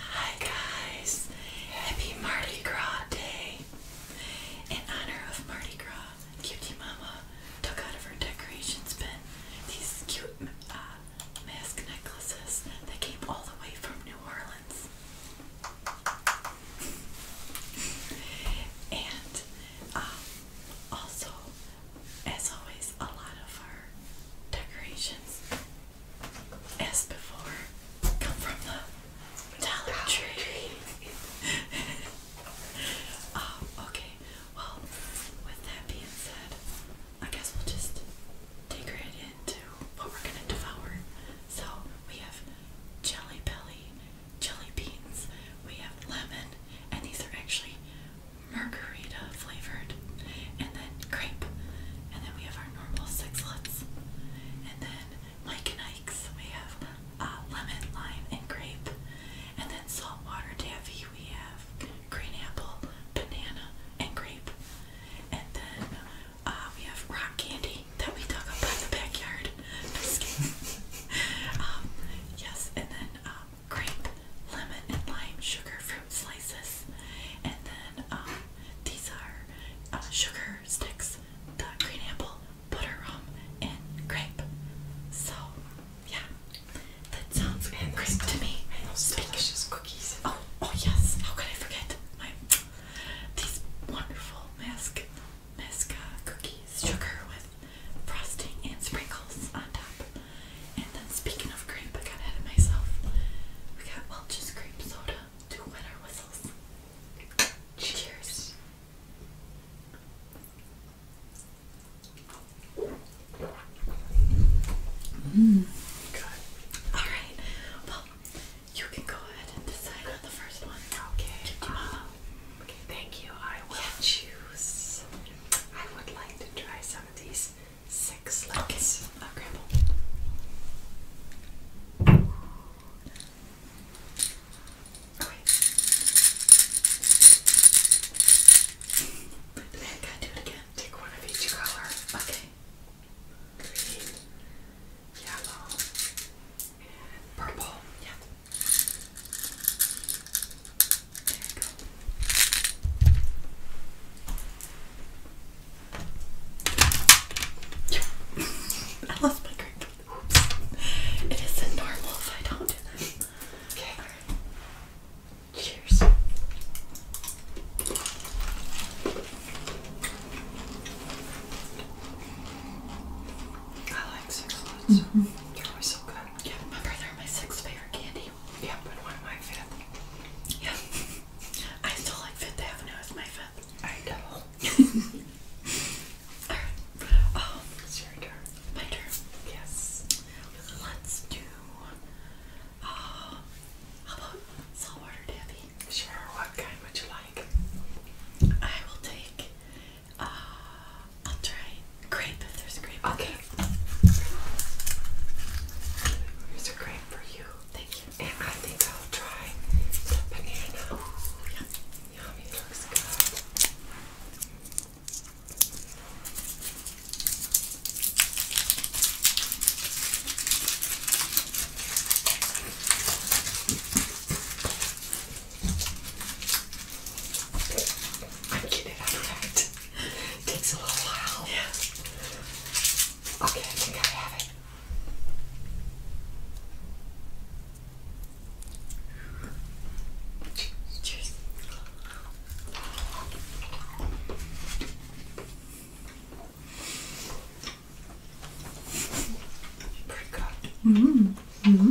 Hi guys! Happy Mardi Gras Day! In honor of Mardi Gras, Cutie Mama took out of her decorations bin these cute uh, mask necklaces that came all the way from New Orleans. and um, also, as always, a lot of our decorations as before, come from the Dollar Tree. Oh, okay. Well, with that being said, I guess we'll just dig right into what we're gonna devour. So we have jelly belly, jelly beans, we have lemon, and these are actually margarita flavored, and then grape, and then we have our normal sixlets, and then Mike and Ike's we have uh, lemon, lime, and grape, and then saltwater davy. we have green apple, banana, and grape, and then uh, we have rock candy that we dug up in the backyard. Um, yes, and then um, grape, lemon, and lime, sugar, fruit slice and then um, these are uh, sugar sticks, the green apple, butter rum, and grape. So, yeah, that sounds and great to me. And those delicious cookies. Oh, oh yes. How could I forget my these wonderful mask masca uh, cookies, sugar with frosting and sprinkles on top. And then speaking of cream, I got ahead of myself. We got Welch's cream soda to wet our whistles. Cheers. Mmm, good. Alright, well, you can go ahead and decide on the first one. Okay. Um, okay, thank you. I will choose. I would like to try some of these six legs of Gramble. Okay. Oh, I got do it again. Take one of each color. Okay. Green, yellow, and purple. Yeah. There you go. I lost my grip. It isn't normal if I don't Okay. Cheers. I like six lots. Mm mm-hmm. are always so good. Yeah, my brother, my sixth favorite candy. Yeah, but one my fifth. Yeah. I still like Fifth Avenue as my fifth. I know. Alright. Um, it's your turn. My turn. Yes. Let's do. Uh, saltwater Debbie? Sure. What kind would you like? I will take. Uh, I'll try grape if there's grape. Okay. Here's a grape for you. Thank you. And I think I'll try the banana. Yummy, looks good. I'm getting it out right. Takes a little while. Yeah. Okay, I think I have it. Cheers. Pretty hmm. hmm.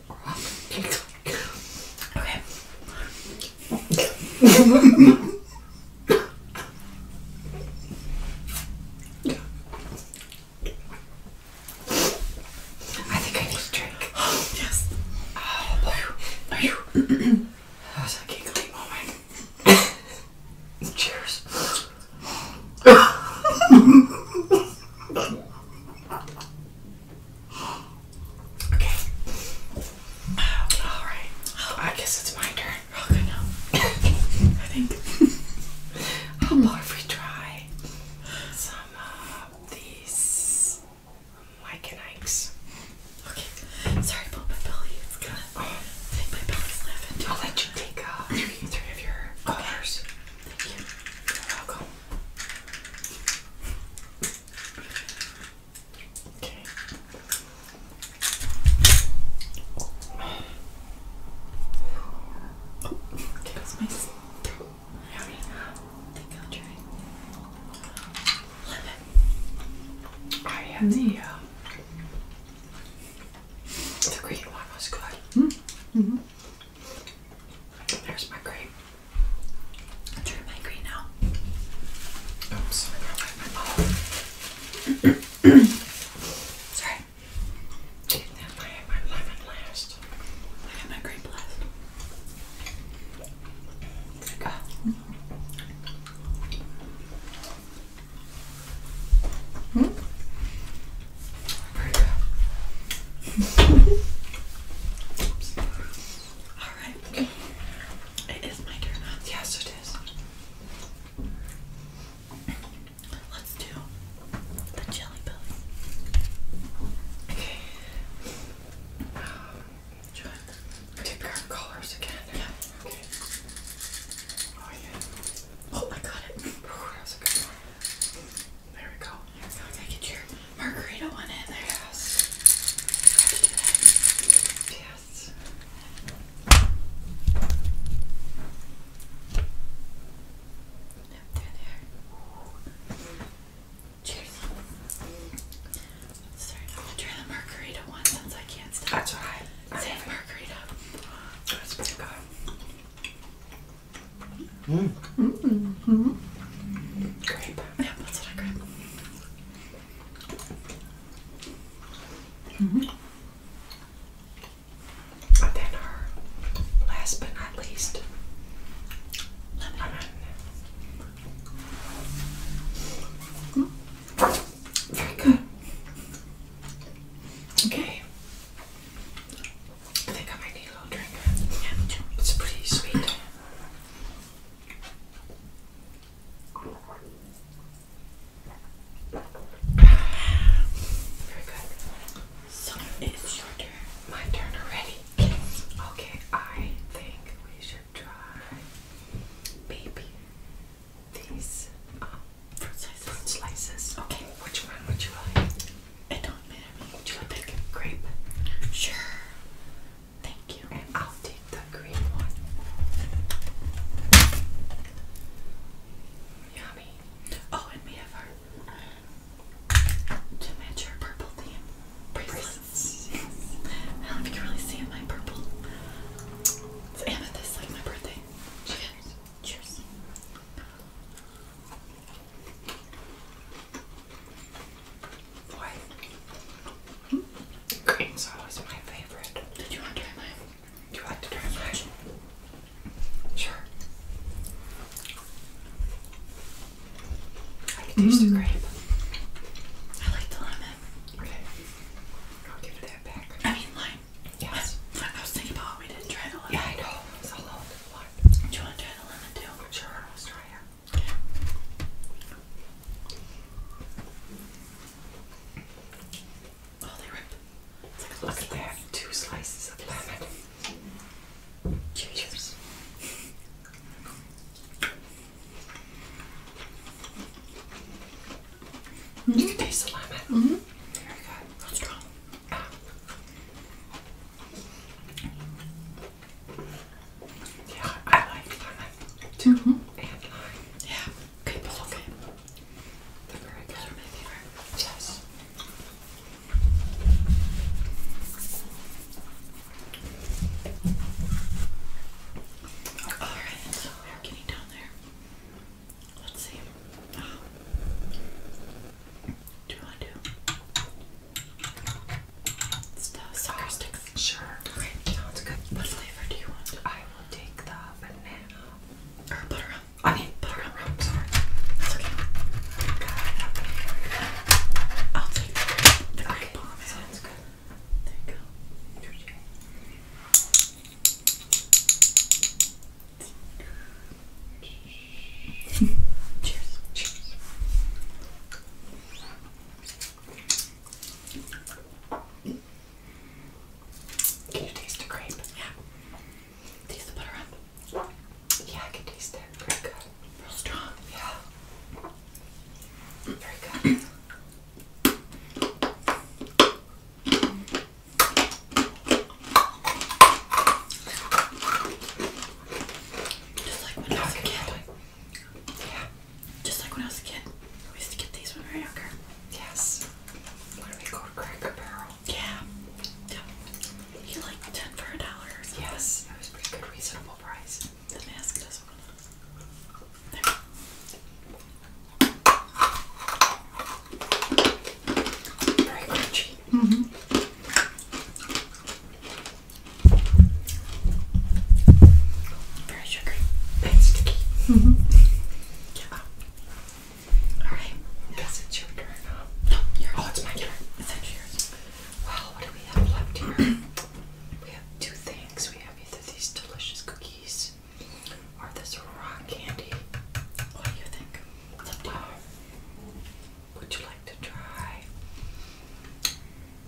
I think I need a drink. Oh, yes. Oh, boy. Are you? that was a giggly moment. Cheers. Okay. All right. I guess it's my turn. Okay, oh, no. I think. How about we try some of these Mike and Ike's? Okay. Sorry about my belly. I think my belly's laughing I'll let you take uh, three, three of your colors. Thank you. You're welcome. Okay. Oh, okay, that's my throat. Um, I think I'll try. Lemon. I had the green one was good. Mm. -hmm. There's my grape. I my green now. Oops, Sorry. Take that my, lemon last. I have my grape last. There we go. Hmm? Alright. It is my turn. Yes, it is. Let's do the jelly belly. Okay. Um, should I take our colors again? Okay. Oh, yeah. Oh, I got it. that was a good one. There we go. So get your margarita one in there. Yes. Yes. Cheers. Sorry, I'm gonna try the margarita one since I can't stop. That's alright. Same margarita. That's pretty good. Mm. Mm -hmm. Grape. Yeah, that's what I grape. -hmm. then our last but not least lemon. Mm-hmm. lemon. Mm-hmm. Very good. Okay. I think I might need a little drink. Yeah, it's pretty sweet. Very good. So it's your turn. My turn already. Okay, I think we should try baby these um, Fruit slices. Okay, which one would you like? It don't matter. Do you want the grape? Sure. Thank you. I'll take the green one. Yummy. Oh, and we have our to match our purple theme bracelets. I don't know if you can really see it. My purple. It's amethyst, like my birthday. Cheers. Cheers. Fourth. Hmm? is my favorite. Did you want to try mine? Do you like to try mine? Sure. I can taste the mm. grape. I like the lemon. Okay. I'll give that back. I mean lime. Yes. I, I was thinking about we didn't try the lemon. Yeah, I know. It's all over Do you want to try the lemon too? Sure. Oh, look at that. Two slices of lemon. Cheers. You can taste the lemon. Mm-hmm. Very good. strong. Ah. Yeah, I like lime And lime. Yeah, good pull. They're very good. Those are Yes. Alright, so we're getting down there. Let's see. Um, do you do it's sticks. Sure. sounds good. What flavor do you want? I will take the banana. Or butter. I mean butter. I'm sorry. okay. I'll take the, grape Sounds good. There you go. Cheers. Cheers. Can you taste the grape? Yeah. Taste the butter on. Yeah, I can taste it. Pretty good. Real strong. Yeah. Very good. Just like when I was a kid. Yeah. Just like when I was a kid. We used to get these when we were younger. Yes. When we go to Cracker Barrel. Yeah. Yep. You like ten for a dollar Yes. That was pretty good reasonable price. The mask doesn't want Very crunchy. Mm-hmm. Very sugary and sticky. yeah. Alright. Guess it's your turn, huh? Oh, no, it's my turn. It's actually yours. Well, what do we have left here? we have two things. We have either these delicious cookies or this rock candy. What do you think? It's up to you. Would you like to try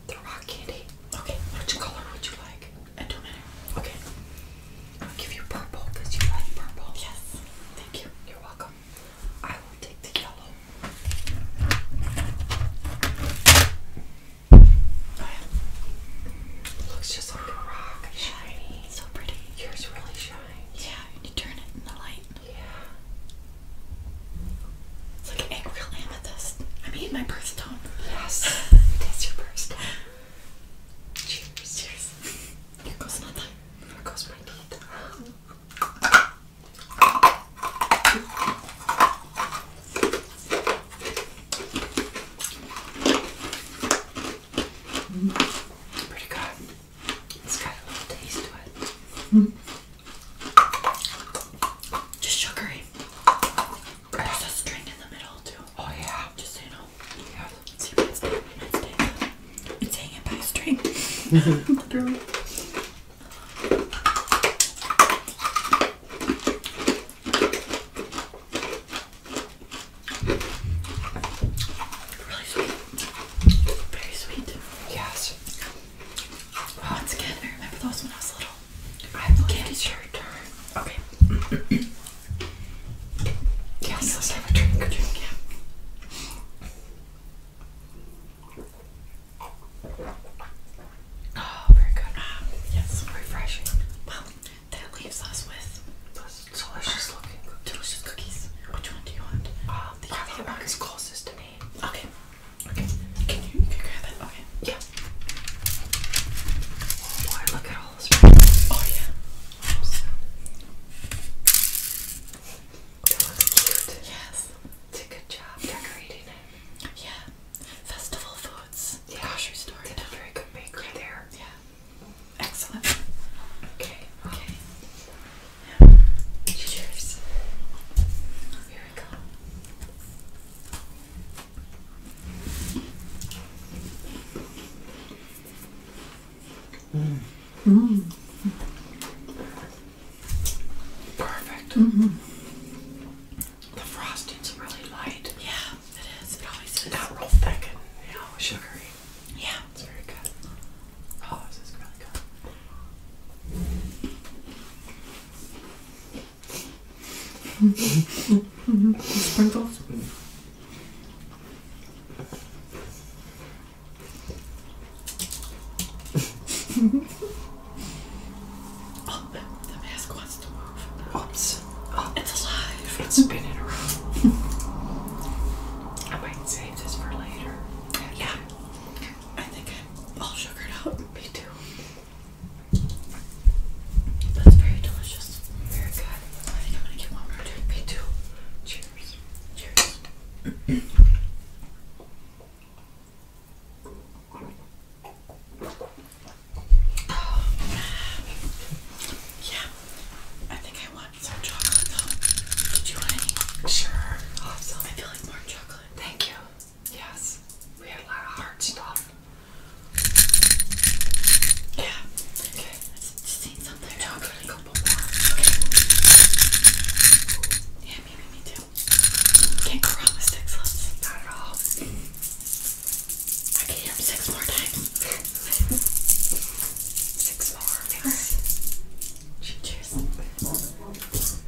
the rock candy? Okay, which color would you like? I don't know. Okay. I'll give you purple because you like purple. Yes. Thank you. You're welcome. I will take the yellow. Oh, Looks just like a rock. shiny. So pretty. Yours really shines. Yeah, you turn it in the light. Yeah. It's like an real amethyst. I mean, my birth stone. Yes. That's your birth stone. Cheers. Cheers. Here goes nothing. Here goes my teeth. Mm. Pretty good. It's got a little taste to it. Just sugary. in the middle too. Oh yeah. Just so you know. Yeah. See mine's dead. Mine's dead. It's hanging by a string. Really sweet. Very sweet. Yes. Once oh, again, I remember those when I was little. I believe it's your turn. Okay. yes, let's have a drink. Good Oh, very good. yes, refreshing. Well, that leaves us with delicious looking delicious cookies. Which one do you want? Uh, the one is closest to me. Okay. Okay. Can you, grab it? Okay. Yeah. Oh boy, look at all this. Oh yeah. That looks cute. Yes. good job decorating it. Yeah. Festival foods. Yeah. Grocery store. Did a very good bakery there. Yeah. Excellent. Okay. Okay. Cheers. Here we go. Mm. Perfect. -hmm. The frosting's really light. Yeah, it is. It always is. Not real thick and sugary. Yeah, it's very good. Oh, Sprinkles. oh, the, mask wants to move. Oops. it's alive. It's been I might save this for later. Yeah. I think all sugared up. Me too. But very delicious. Very good. I think I'm gonna get one more drink. Me too. Cheers. Cheers. yeah. I think I want some chocolate though. Did you want any? Sure. Awesome. I feel like more chocolate. Thank you. Yes, we had a lot of hard stuff. Yeah. Okay. I just need something. No, I'll a couple Okay. Yeah, maybe me too. Can't go wrong with six lips. Not at all. I can eat six more times. six more. Yes. Cheers.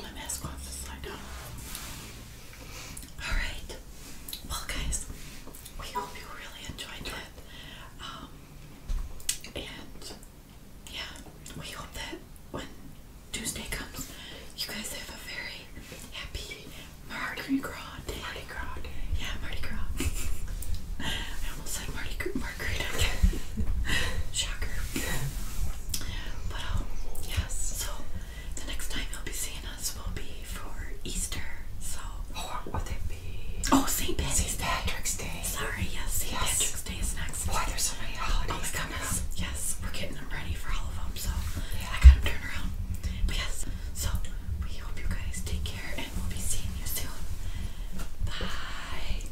My mask wants to slide Alright. Well guys, we hope you really enjoyed that. Um, and yeah, we hope that when Tuesday comes, you guys have a very happy Mardi Gras day. Mardi Yeah, Mardi Gras. I almost said Mardi Margarita. Shocker. But um, yes, so the next time you'll be seeing us will be for Easter. So or oh, would it be? Oh, St. Patrick's, Day. Sorry, yes, St. Patrick's Day is next. Why there's so many holidays? Oh my Yes, we're getting them ready for all of them. So yeah. I got them turned around. But yes, so we hope you guys take care, and we'll be seeing you soon. Bye.